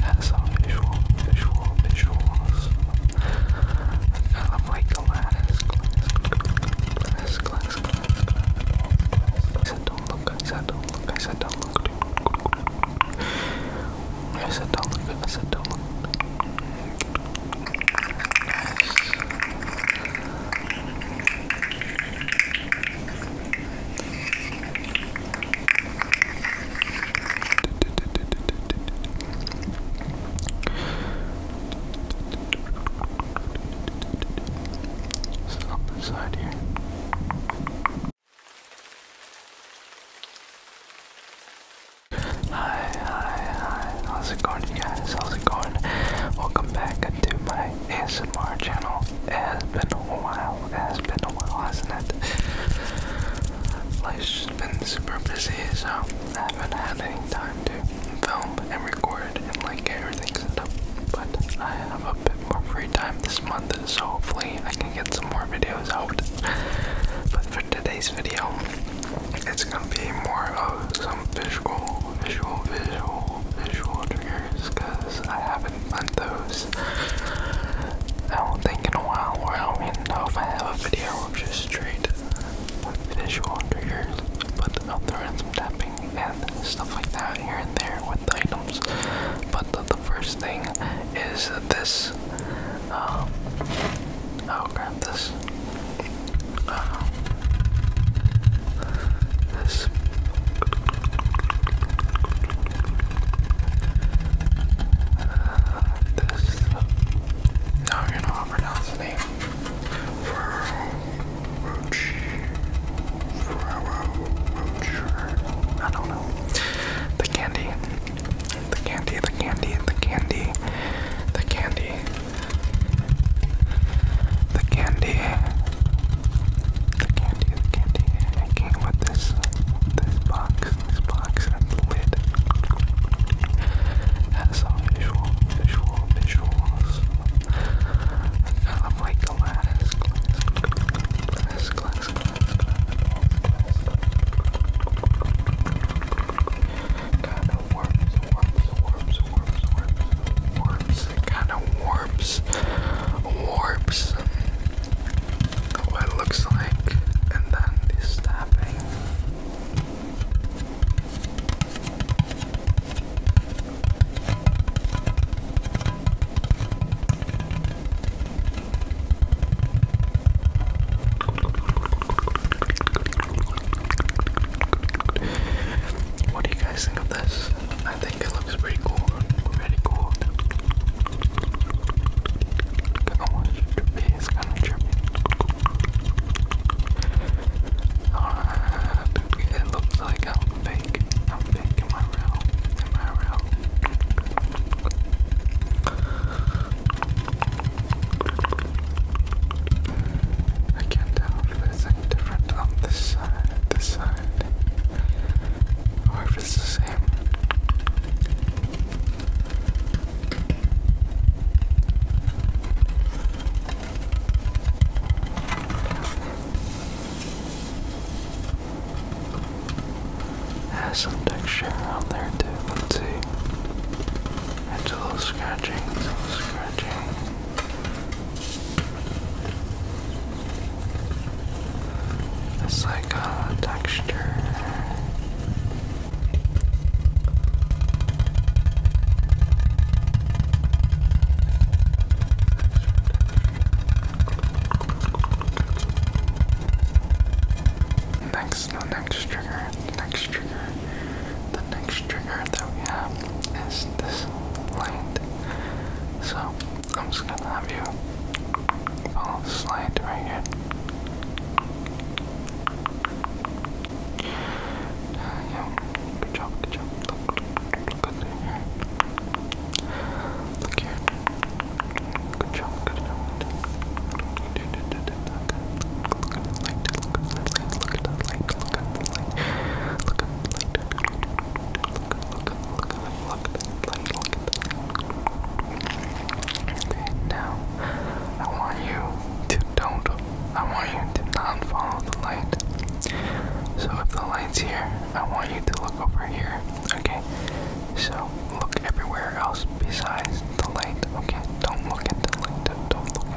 Has some visual, visual, visuals. Kind of like glass, glass, glass, I said don't look, I said don't I said don't look. I said don't look, I said don't look up the here. Hi, hi, hi. How's it going, guys? How's it going? Welcome back to my ASMR channel. It has been a while. It has been a while, hasn't it? Life's been super busy, so I haven't had any time to film and record and like get everything set up. But I have a bit more free time this month, so hopefully I can get some more videos out. But for today's video, it's gonna be more of some visual, visual, visual, visual triggers I have have those. I don't think in a while or I don't know if I have a video or just straight visual triggers, but I'll throw in some tapping and stuff like that here and there with items. But the, first thing is this. I'll um, grab oh this. Uh, this. this. Now I'm gonna pronounce the name. Roach. The candy, the candy, the candy, the candy. The candy the candy, the candy, it came with this, this box, this box and the lid. Has some visual, visual, visuals. I'm um, like glass, glass, glass, glass, glass, glass, glass. Kind of worms, worms, worms, worms, worms, worms it kind of warps, warps what it looks like, and then this tapping. What do you guys think of this? I think it looks pretty cool. Pretty cool. Almost trippy. It's kind of it looks like I'm fake. I'm fake. Am I real? Am I real? I can't tell if it's any different on this side, this side, or if it's the same. Has some texture on there too. Let's see. It's a little scratching, a little scratching. It's like a texture. Next, no next trigger, next trigger. The next trigger that we have is this light. So I'm just gonna have you follow this light right here. good job, good job. Look, Good job. Good job look at the light, look at the light, look at the light, look at the light, look at the light, look at look at look at the light, look at the light. Okay, now I want you to don't I want you to not follow the light. So if the light's here, I want you to look over here. Okay? So look everywhere else besides the light. Okay? Don't look at the light. Don't look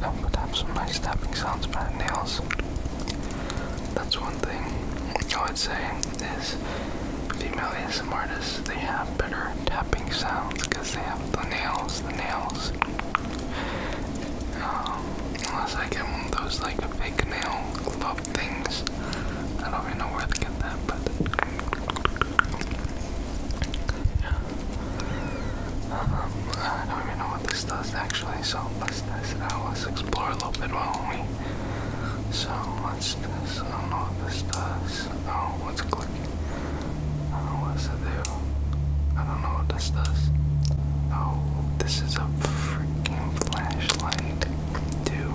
that would have some nice tapping sounds by the nails. That's one thing All I would say is female ASM artists, they have better tapping sounds because they have the nails, the nails. Um, unless I get one of those like fake nail glove things. I don't even know where to get that, but yeah. Um, I don't even know what this does actually, so let's test it out. Let's explore a little bit, won't we? So let's test. I don't know what this does. Oh, what's clicking? I don't know what does it do. I don't know what this does. Oh, this is a freaking flashlight, too.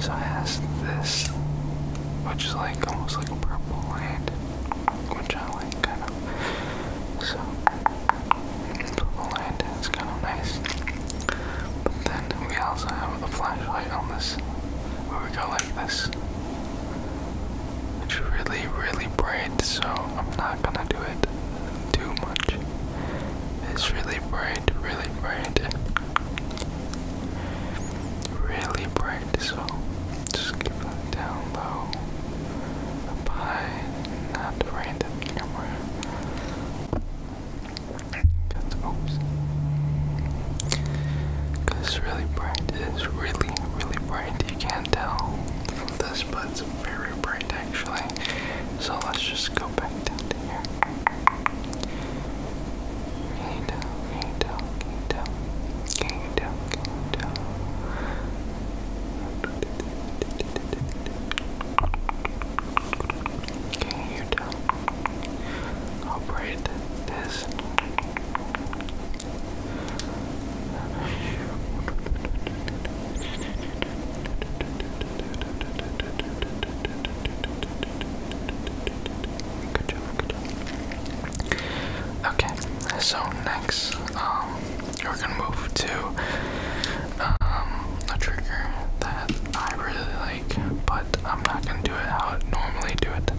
So it has this, which is like almost like a purple light which I like kind of. So the lantern is kind of nice. But then we also have a flashlight on this, where we go like this, which really really bright. So I'm not gonna do it too much. It's really bright, really bright, really bright right, so just keep that down low. By not wearing the camera. Cause, Cause it's really bright. It's really, really bright. You can't tell from this, but it's very bright actually. So let's just go back down to here. Can you tell? Can you tell? Can you tell? Can you tell? I'll braid this. Good job, good job. Okay, so next, um, we're gonna move to um, a trigger that I really like, but I'm not gonna do it how I normally do it.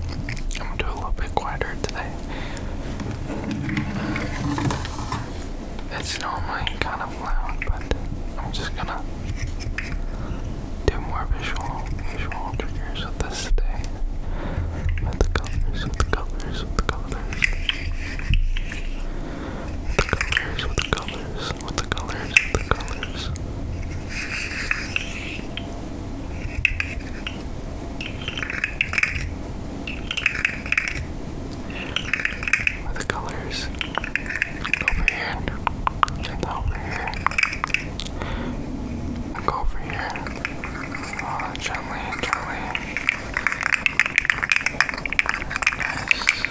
I'm gonna do a little bit quieter today. It's normally kind of loud, but I'm just gonna do more visual, visual triggers colors of With the colors, with the colors, with the colors. With the colors, with the colors, with the colors, with the colors. With the colors over here and over here. And over here. Oh, gently, gently. Nice.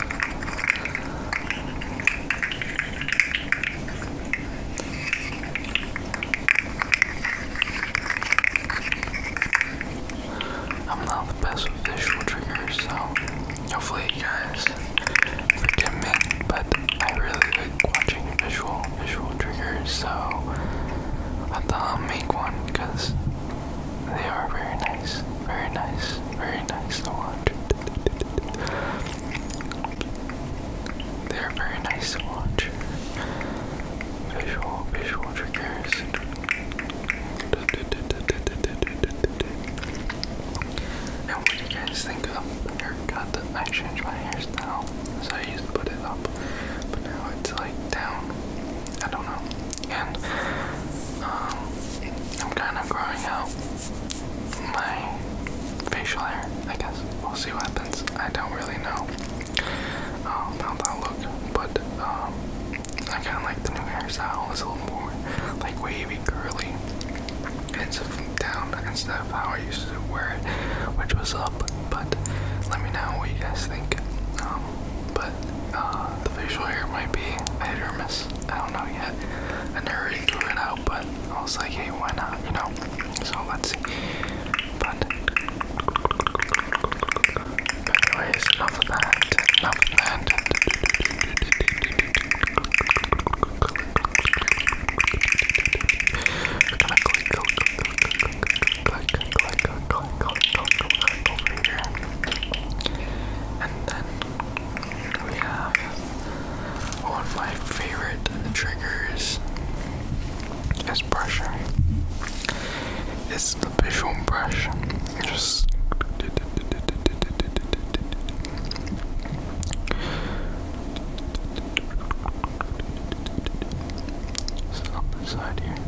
I'm not the best with visual triggers, so hopefully you guys forgive me, but I really like watching visual visual triggers, so I thought I'll make one because they are very nice, very nice, very nice to watch. They are very nice to watch. Visual visual triggers. And what do you guys think of God, I changed my hairstyle. So I used to put it up, but now it's like down. I don't know. And um, I'm kind of growing out my facial hair. I guess we'll see what happens. I don't really know um, how that look, but um, I kind of like the new hairstyle. It's a little more like wavy, curly. It's down instead of how I used to wear it, which was up. But let me know what you guys think. Um, but uh, the facial hair might be a hit or miss. I don't know yet. I never really threw it out, but I was like, hey, why not? You know. So let's see. But anyways, enough of that. Enough of that. And then we have one of my favorite triggers is pressure. It's the visual brush. Just this is up side here. Go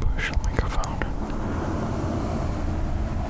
push the microphone.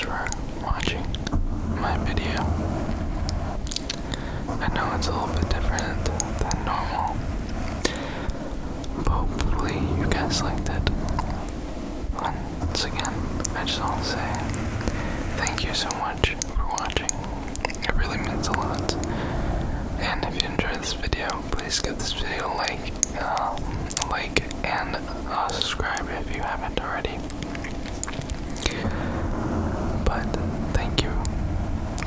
for watching my video. I know it's a little bit different than normal, hopefully you guys liked it. Once again, I just want to say thank you so much for watching. It really means a lot. And if you enjoyed this video, please give this video a like, um, like and uh, subscribe if you haven't already. But thank you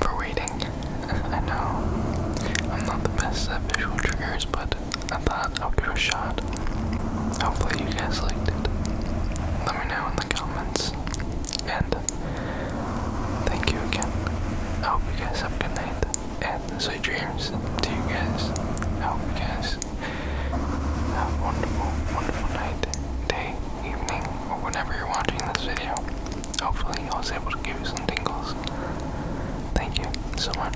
for waiting. I know I'm not the best at visual triggers, but I thought I'll give it a shot. Hopefully, you guys liked it. Let me know in the comments. And thank you again. I hope you guys have a good night and sweet dreams to you guys. I hope you guys have a wonderful, wonderful night, day, evening, or whenever you're watching this video. Hopefully, I was able to give you some tingles. Thank you so much.